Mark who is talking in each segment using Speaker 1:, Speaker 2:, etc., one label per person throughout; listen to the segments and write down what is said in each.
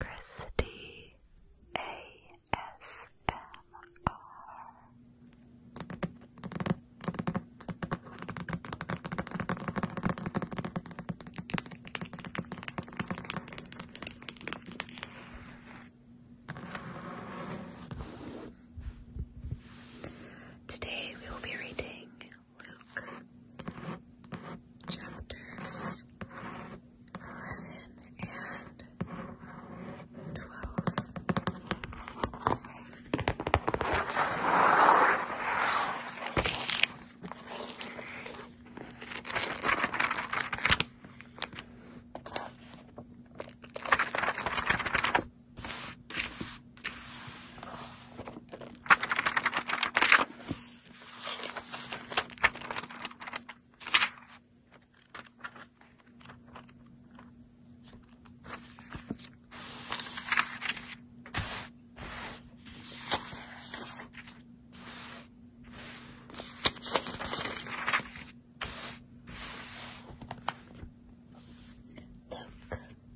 Speaker 1: Christy ASMR. Today we will be reading Luke chapters Eleven and 12. Luke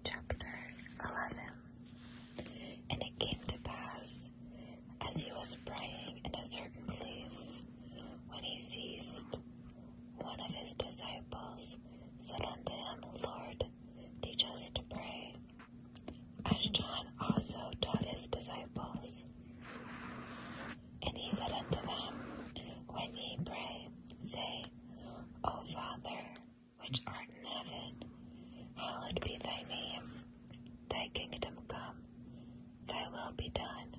Speaker 1: chapter 11. And it came to pass as he was praying in a certain place. When he ceased, one of his disciples said unto him, Lord, teach us to pray, as John also taught his disciples. And he said unto them, When ye pray, say, O Father, which art in heaven, hallowed be thy name. Thy kingdom come, thy will be done,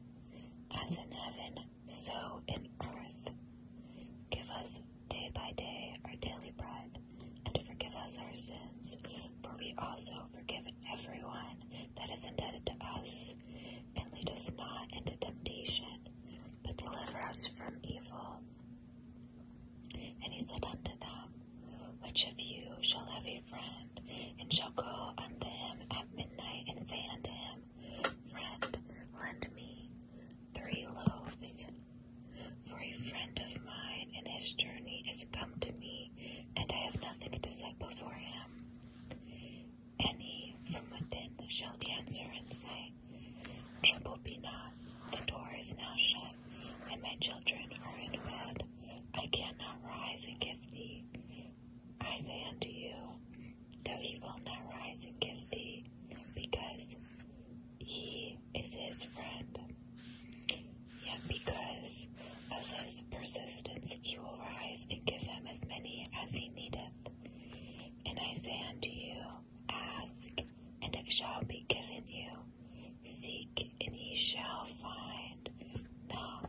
Speaker 1: as in heaven, so in earth. Give us day by day our daily bread, and forgive us our sins, for we also forgive everyone that is indebted to us. And lead us not into temptation, but deliver us from evil. And he said unto them, which of you shall have a friend, and shall go unto him at midnight, and say unto him, Friend, lend me three loaves? For a friend of mine in his journey is come to me, and I have nothing to set before him. And he from within shall answer and say, Trouble be not, the door is now shut, and my children are in bed. I cannot rise and give thee. I say unto you, though he will not rise and give thee, because he is his friend. Yet because of his persistence, he will rise and give him as many as he needeth. And I say unto you, ask, and it shall be given you. Seek, and ye shall find. Knock,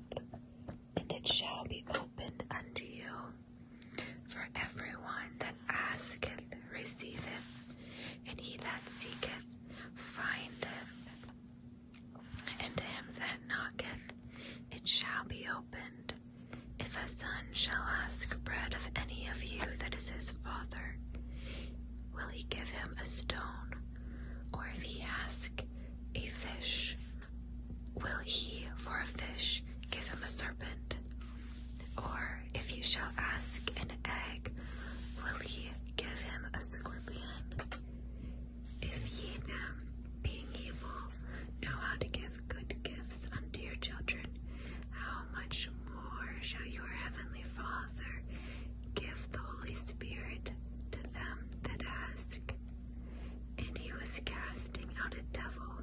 Speaker 1: and it shall be opened unto you. For everyone that asketh receiveth, and he that seeketh findeth. And to him that knocketh it shall be opened. If a son shall ask bread of any of you that is his father, will he give him a stone? Or if he ask a fish, will he for a fish give him a serpent? Or if you shall ask an egg, will he give him a scorpion? If ye them, being evil, know how to give good gifts unto your children, how much more shall your heavenly Father give the Holy Spirit to them that ask, and he was casting out a devil,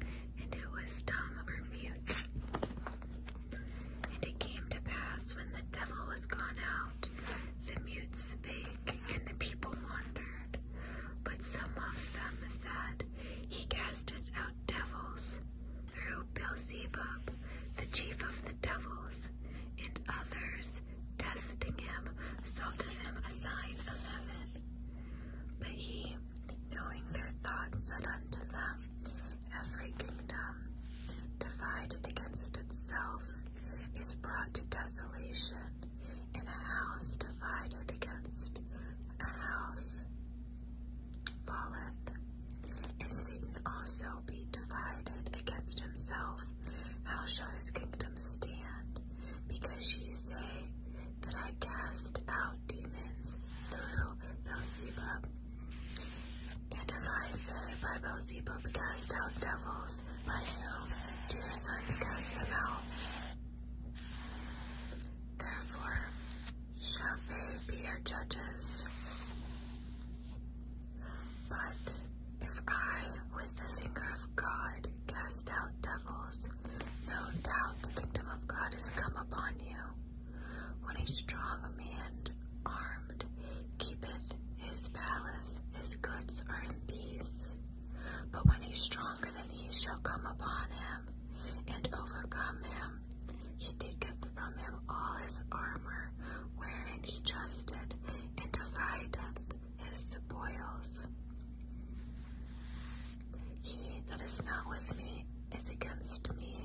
Speaker 1: and it was dumb or mute. And it came to pass when the devil was gone out, the mute spake, and the people wondered. But some of them said, He casteth out devils through Beelzebub, the chief of the devils, and others, testing him, sought of him a sign of heaven. But he, knowing their thoughts, said unto them, Every kingdom divided against itself is brought to desolation, and a house divided against a house falleth. If Satan also be divided against himself? How shall his kingdom stand? Because ye say that I cast out demons through Beelzebub. And if I say by Beelzebub cast out devils, by whom do your sons cast them out? Therefore shall they be your judges. But if I, with the finger of God, cast out devils, no doubt the kingdom of God has come upon you. When a strong man armed keepeth his palace, his goods are in peace. But when he is stronger than he shall come upon him and overcome him, he taketh from him all his armor, wherein he trusted, and divideth his spoils. He that is not with me is against me,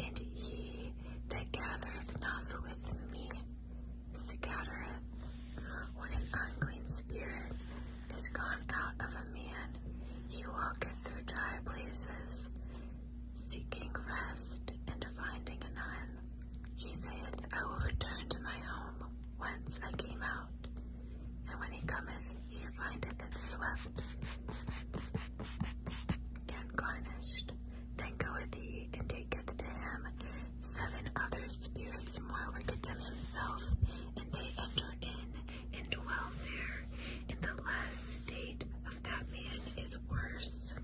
Speaker 1: and he that gathereth not with me scattereth. When an unclean spirit is gone out of a man, he walketh through dry places, Seeking rest and finding none, he saith, I will return to my home whence I came out. And when he cometh, he findeth it swept and garnished. Then goeth he and taketh to him seven other spirits more wicked than himself, and they enter in and dwell there. In the last state that man is worse.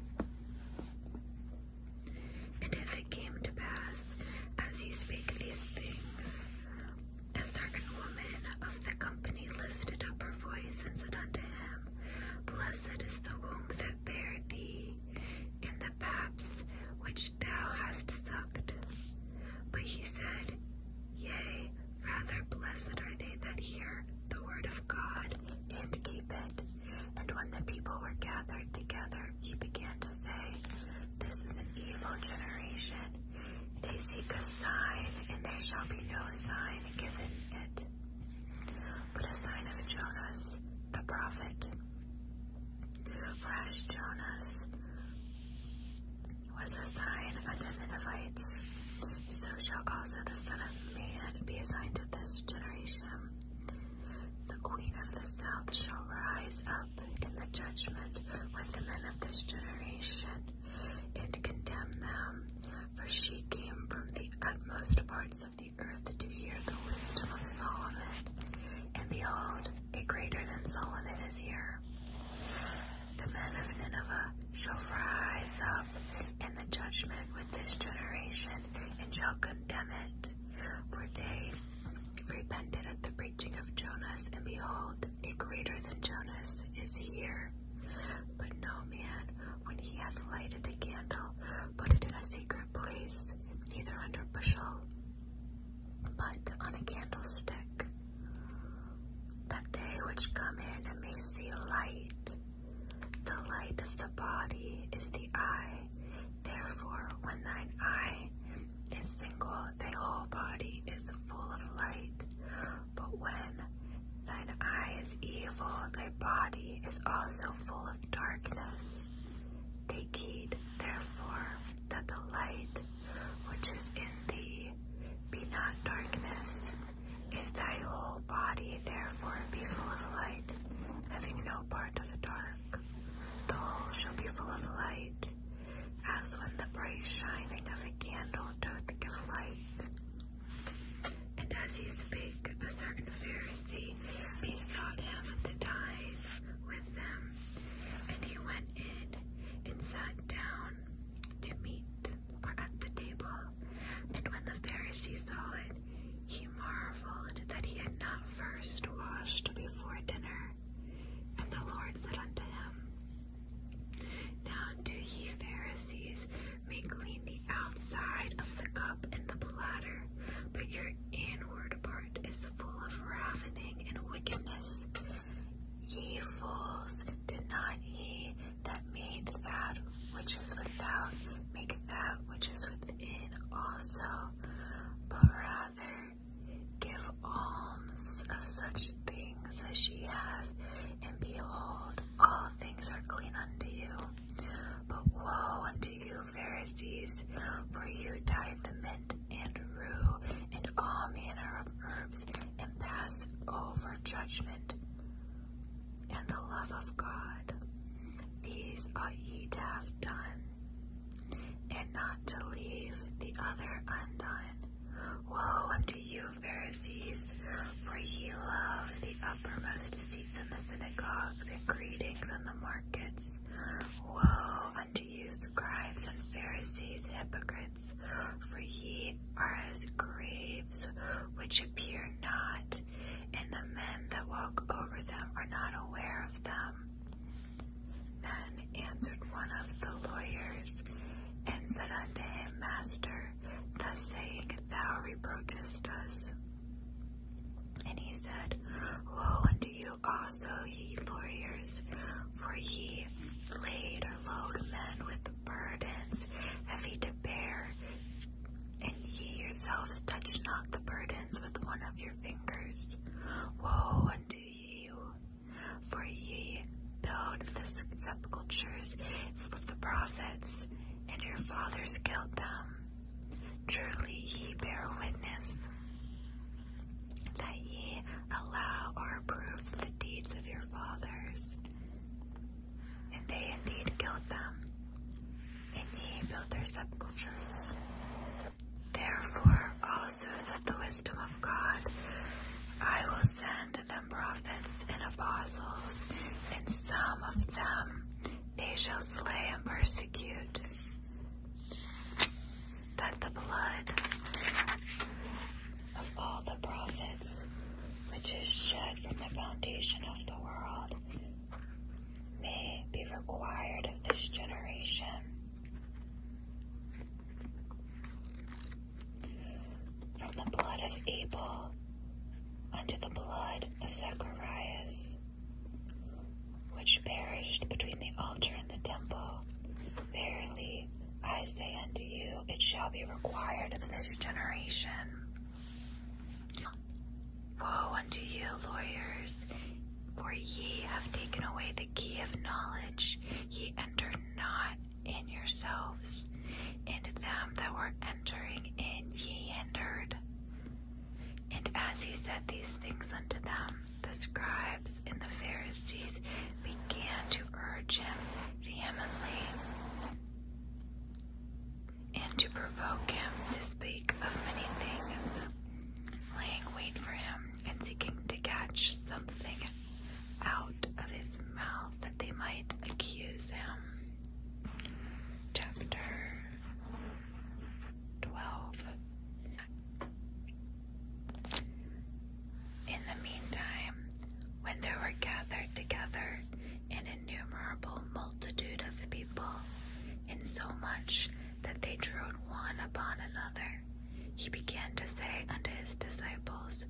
Speaker 1: And if it came to pass, as he spake these things, a certain woman of the company lifted up her voice and said unto him, Blessed is the womb that bare thee, and the paps which thou hast sucked. But he said, Yea, Rather blessed are they that hear the word of God and keep it. And when the people were gathered together, he began to say, This is an evil generation. They seek a sign, and there shall be no sign given it. But a sign of Jonas the prophet. For Jonas was a sign unto the Ninevites, so shall also the Son of Man be assigned to this generation. The Queen of the South shall rise up in the judgment with the men of this generation and condemn them, for she came from the utmost parts of the earth to hear the wisdom of Solomon. And behold, a greater than Solomon is here. The men of Nineveh shall rise up down in the judgment with this generation, and shall condemn it. For they repented at the preaching of Jonas, and behold, a greater than Jonas is here. But no man, when he hath lighted a candle, put it in a secret place, neither under a bushel, but on a candlestick, that they which come in may see light. The light of the body is the eye. Therefore, when thine eye is single, thy whole body is full of light. But when thine eye is evil, thy body is also full of darkness. Take heed, therefore, that the light which is in thee be not darkness. If thy whole body therefore be full of light, having no part of the dark, the whole shall be full of light, as when the bright shining of a candle doth give light. And as he spake, a certain Pharisee besought him to dine with them. And he went in and sat down to meat, or at the table. And when the Pharisees saw it, he marveled that he had not first washed before dinner. And the Lord said unto him, Now do ye Pharisees make clean the outside of the cup and the platter, but your inward part is full of ravening and wickedness. Ye fools, did not ye that made that which is without make that which is within also, but rather give alms of such things as ye have, and behold, all things are clean unto you. But woe unto you, Pharisees, for you tithe the mint and rue and all manner of herbs, and pass over judgment and the love of God. These ought ye to have done, and not to leave the other undone. Woe unto you, Pharisees, for ye love the uppermost seats in the synagogues and greetings on the markets. Woe unto you, scribes and Pharisees, hypocrites, for ye are as graves which appear not, and the men that walk over them are not aware of them. Then answered one of the lawyers and said unto him, Master, thus saying, thou reproachest us. And he said, Woe unto you also, ye lawyers, for ye laid or load men with burdens heavy to bear, and ye yourselves touch not the burdens with one of your fingers. Woe unto you, for ye build the sepulchres of the prophets, and your fathers killed them. Truly ye bear witness that ye allow or approve the deeds of your fathers and they indeed killed them and ye built their sepulchres. Therefore also, said the wisdom of God, I will send them prophets and apostles, and some of them they shall slay and persecute, that the blood of all the prophets which is shed from the foundation of the world, may be required of this generation. From the blood of Abel unto the blood of Zacharias, which perished between the altar and the temple, verily I say unto you, it shall be required of this generation. Woe unto you, lawyers, for ye have taken away the key of knowledge. Ye entered not in yourselves, and them that were entering in ye hindered. And as he said these things unto them, the scribes and the Pharisees began to urge him vehemently and to provoke him to speak of many things, laying wait for him and seeking to catch something out of his mouth that they might accuse him. Chapter 12 In the meantime, when they were gathered together, an innumerable multitude of people, insomuch that they trode one upon another. He began to say unto his disciples,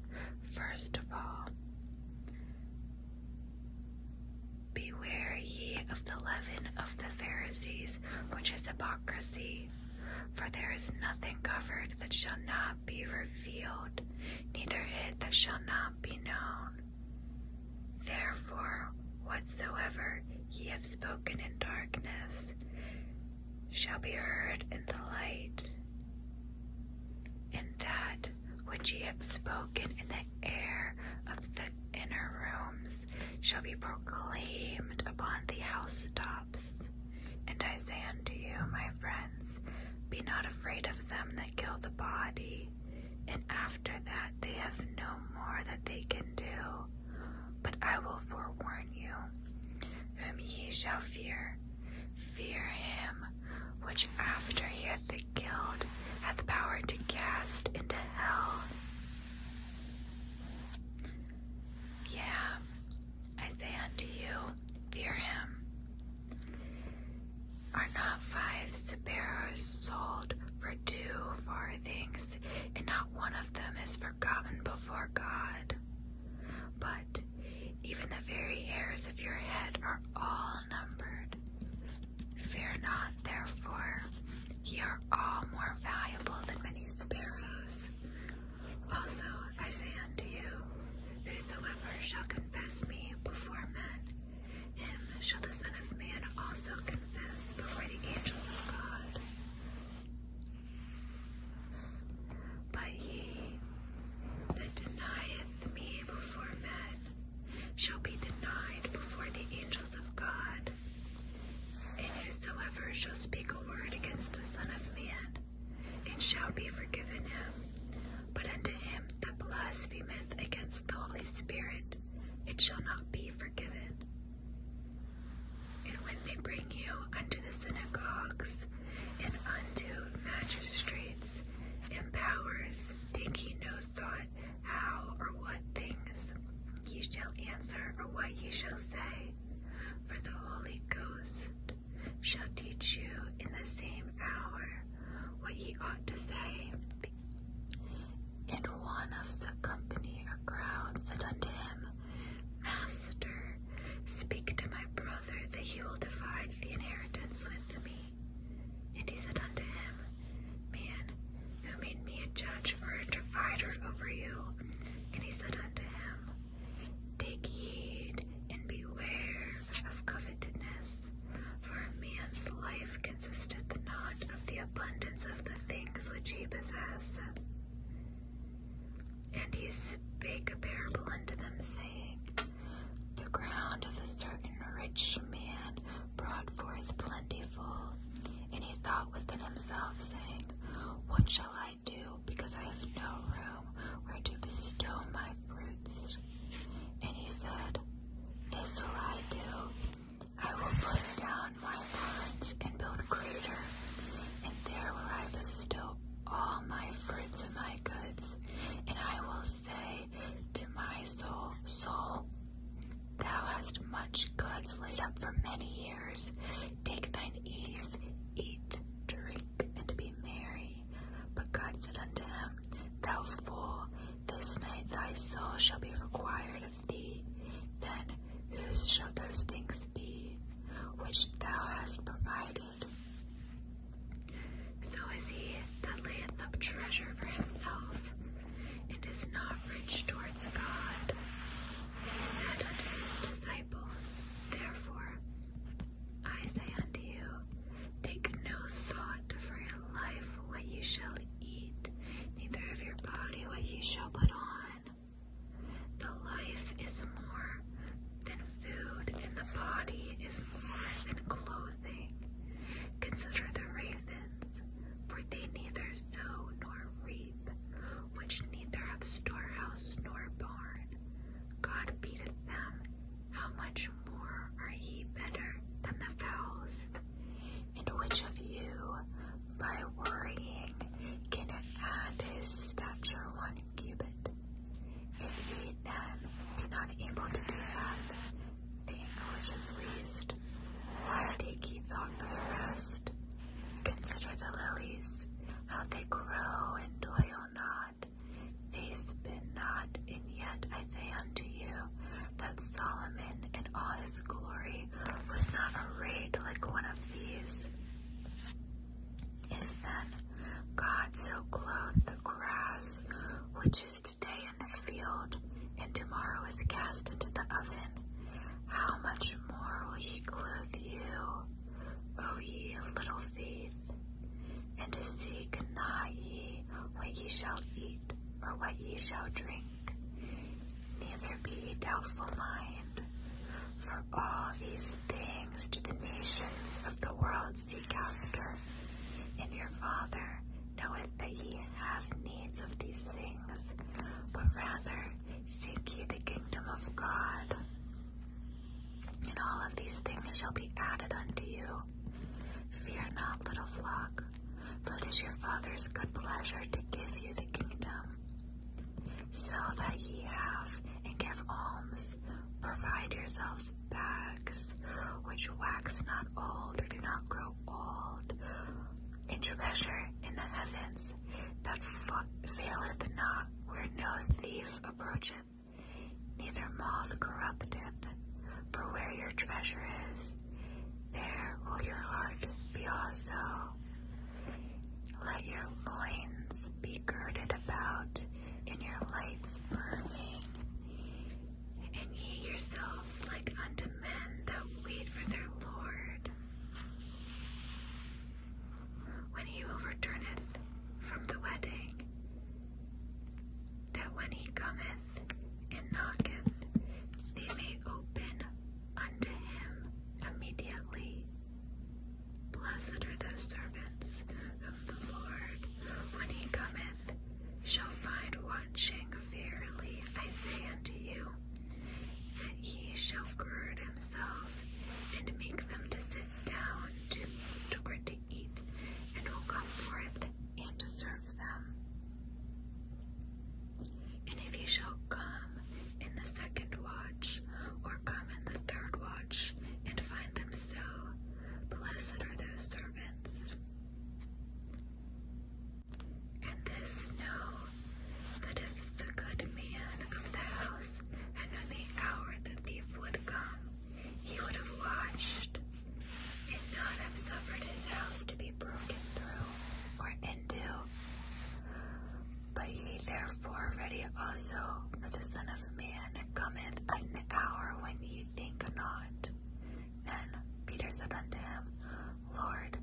Speaker 1: First of all, beware ye of the leaven of the Pharisees, which is hypocrisy. For there is nothing covered that shall not be revealed, neither hid that shall not be known. Therefore, whatsoever ye have spoken in darkness shall be heard in the light, and that which ye have spoken in the air of the inner rooms shall be proclaimed upon the housetops. And I say unto you, my friends, be not afraid of them kill the body, and after that they have no more that they can do. But I will forewarn you whom ye shall fear. Fear him which after he hath killed hath power to cast into hell. Yeah, I say unto you, fear him. Are not five sparrows sold for two farthings, and not one of them is forgotten before God? But even the very hairs of your head are all numbered. Fear not, therefore, ye are all more valuable than many sparrows. Also, I say unto you, Whosoever shall confess me before men, him shall the Son of Man also confess before the angels of God. But he that denieth me before men shall be denied before the angels of God. And whosoever shall speak a word against the Son of Man, it shall be forgiven him. But unto him them that blasphemeth against the Holy Spirit, it shall not be forgiven. And when they bring you unto the synagogues and unto magistrates and powers, taking no thought how or what things you shall answer or what you shall say, for the Holy Ghost shall teach you in the same hour what he ought to say. And one of the company or crowd said unto him, Master, speak to my brother that he will divide the inheritance with me. And he said unto him, Man, who made me a judge or a divider over you? And he said unto him, Take heed and beware of covetousness, for a man's life consisted not of the abundance of the things which he possesseth. And he spake a parable unto them, saying, The ground of a certain rich man brought forth plentiful, and he thought within himself, saying, What shall I do, because I have no room where to bestow my fruits? And he said, This will I do. I will put down my barns and build a greater, and there will I bestow all my fruits and my goods. And I will say to my soul, 'Soul, thou hast much goods laid up for many years. Take thine ease, eat, drink, and to be merry. But God said unto him, Thou fool, this night thy soul shall be required of thee. Then whose shall those things be which thou hast provided? So is he that layeth up treasure for himself, and is not rich towards God. he said unto his disciples, Therefore I say unto you, take no thought for your life what you shall eat, neither of your body what ye shall put on. The life is more than food, and the body is more than clothing. Consider the ravens, for they neither sow nor reap, which neither have storehouse nor barn. God feedeth them, how much more are ye better than the fowls? And which of you, by worrying, can add his stature one cubit? If ye then be not able to do that thing which is least, why take ye thought for the rest? Consider the lilies, how they grow and toil not, they spin not, and yet I say unto you that Solomon in all his glory was not arrayed like one of these. If then God so clothed the grass which is today in the field, and tomorrow is cast into the oven, how much more will he clothe you, O ye little faith? And to seek not ye what ye shall eat, or what ye shall drink, neither be ye doubtful mind. For all these things do the nations of the world seek after, and your Father knoweth that ye have needs of these things, but rather seek ye the kingdom of God and all of these things shall be added unto you. Fear not, little flock, for it is your Father's good pleasure to give you the kingdom. Sell that ye have, and give alms. Provide yourselves bags which wax not old or do not grow old, and treasure in the heavens that faileth not, where no thief approacheth Neither moth corrupteth, for where your treasure is, there will your heart be also. Let your loins be girded about, and your lights burning, and ye yourselves like unto men that wait for their Lord. When he overturneth from the wedding, that when he cometh and knocketh, they may open unto him immediately. Blessed are those servants of the Lord, when he cometh, shall find watching verily, I say unto you, that he shall gird himself and make them to sit down to or and will come forth and serve them. And if he shall come in the second watch, or come in the third watch, and find them so, blessed are those servants. And this know that if the good man of the house had known the hour the thief would come, he would have watched and not have suffered his house to be broken through or into. But he therefore ready also, for the Son of Man cometh at an hour when ye think not. Then Peter said unto him, Lord,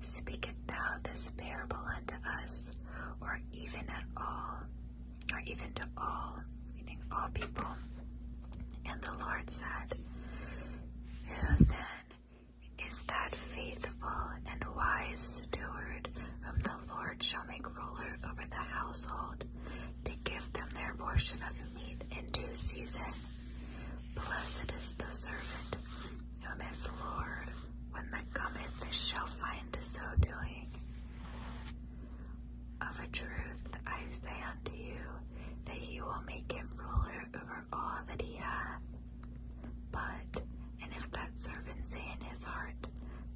Speaker 1: speakest thou this parable unto us, or even at all? or even to all, meaning all people. And the Lord said, Who then is that faithful and wise steward whom the Lord shall make ruler over the household to give them their portion of meat in due season? Blessed is the servant whom his Lord, when the cometh, shall find so doing. Of a truth I say unto you, that he will make him ruler over all that he hath. But, and if that servant say in his heart,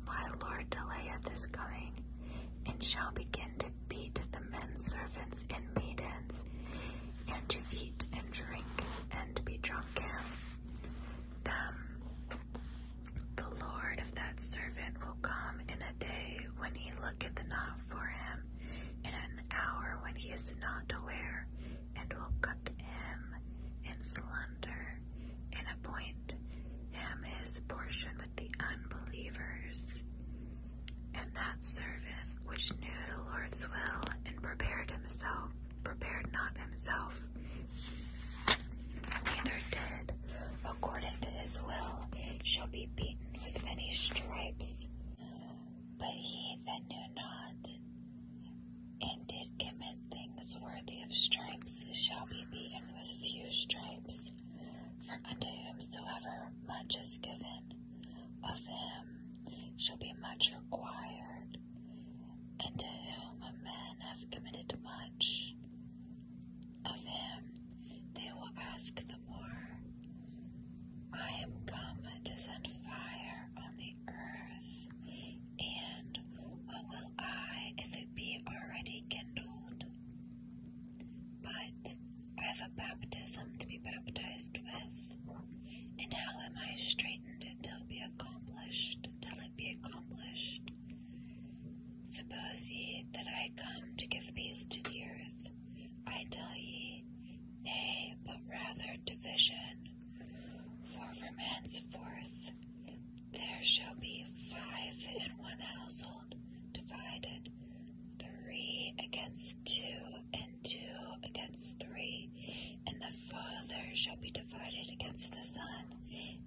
Speaker 1: My Lord delayeth his coming, and shall begin to beat the men servants and maidens, and to eat and drink, and to be drunken, them the Lord of that servant will come in a day when he looketh not for him, in an hour when he is not aware, and will cut him in slender, and appoint him his portion with the unbelievers. And that servant which knew the Lord's will and prepared himself, prepared not himself, neither did according to his will, shall be beaten with many stripes. But he that knew not, and did commit things worthy of stripes, shall be beaten with few stripes. For unto whomsoever much is given, of him shall be much required, and to whom a man have committed much, of him they will ask the more. I am come to send fire on the earth, and what will I if it be already kindled? But I have a baptism to be baptized with, and how am I straightened till be accomplished? Till it be accomplished? Suppose ye that I come to give peace to the earth, I tell ye, nay, but rather division. For from henceforth there shall be five in one household, divided, three against two, and two against three. And the father shall be divided against the son,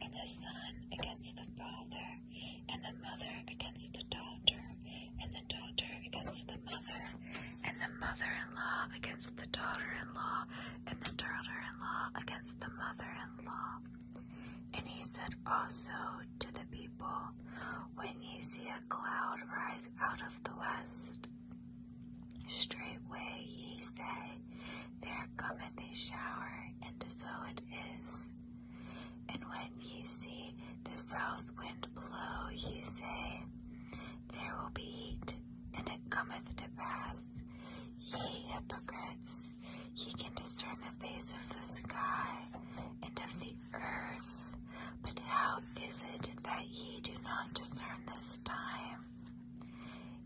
Speaker 1: and the son against the father and the mother against the daughter, and the daughter against the mother, and the mother in law against the daughter in law, and the daughter in law against the mother in law. And he said also to the people, When ye see a cloud rise out of the west, straightway ye say, There cometh a shower, and so it is. And when ye see the south wind blow, ye say, There will be heat, and it cometh to pass. Ye hypocrites, ye can discern the face of the sky and of the earth, but how is it that ye do not discern this time?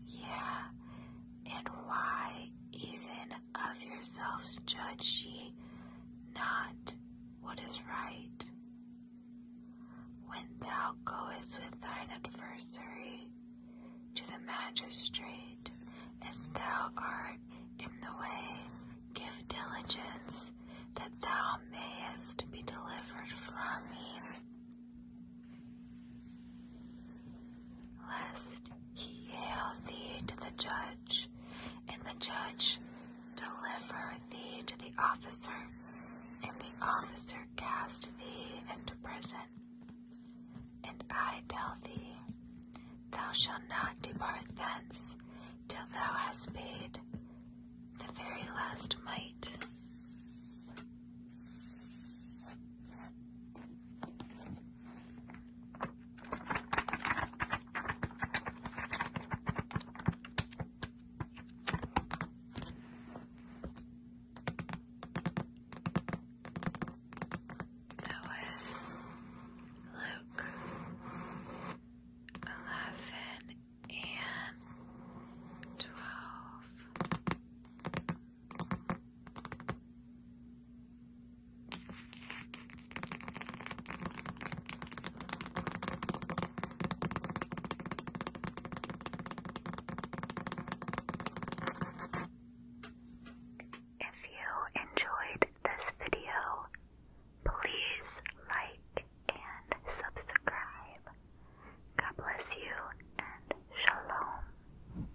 Speaker 1: Yea, and why even of yourselves judge ye not what is right. When thou goest with thine adversary to the magistrate, as thou art in the way, give diligence that thou mayest be delivered from him, Lest he yield thee to the judge and the judge deliver thee to the officer, and the officer cast thee into prison. And I tell thee, thou shalt not depart thence till thou hast paid the very last mite. That was Luke eleven and twelve. If you enjoyed this video, please like and subscribe. God bless you and shalom.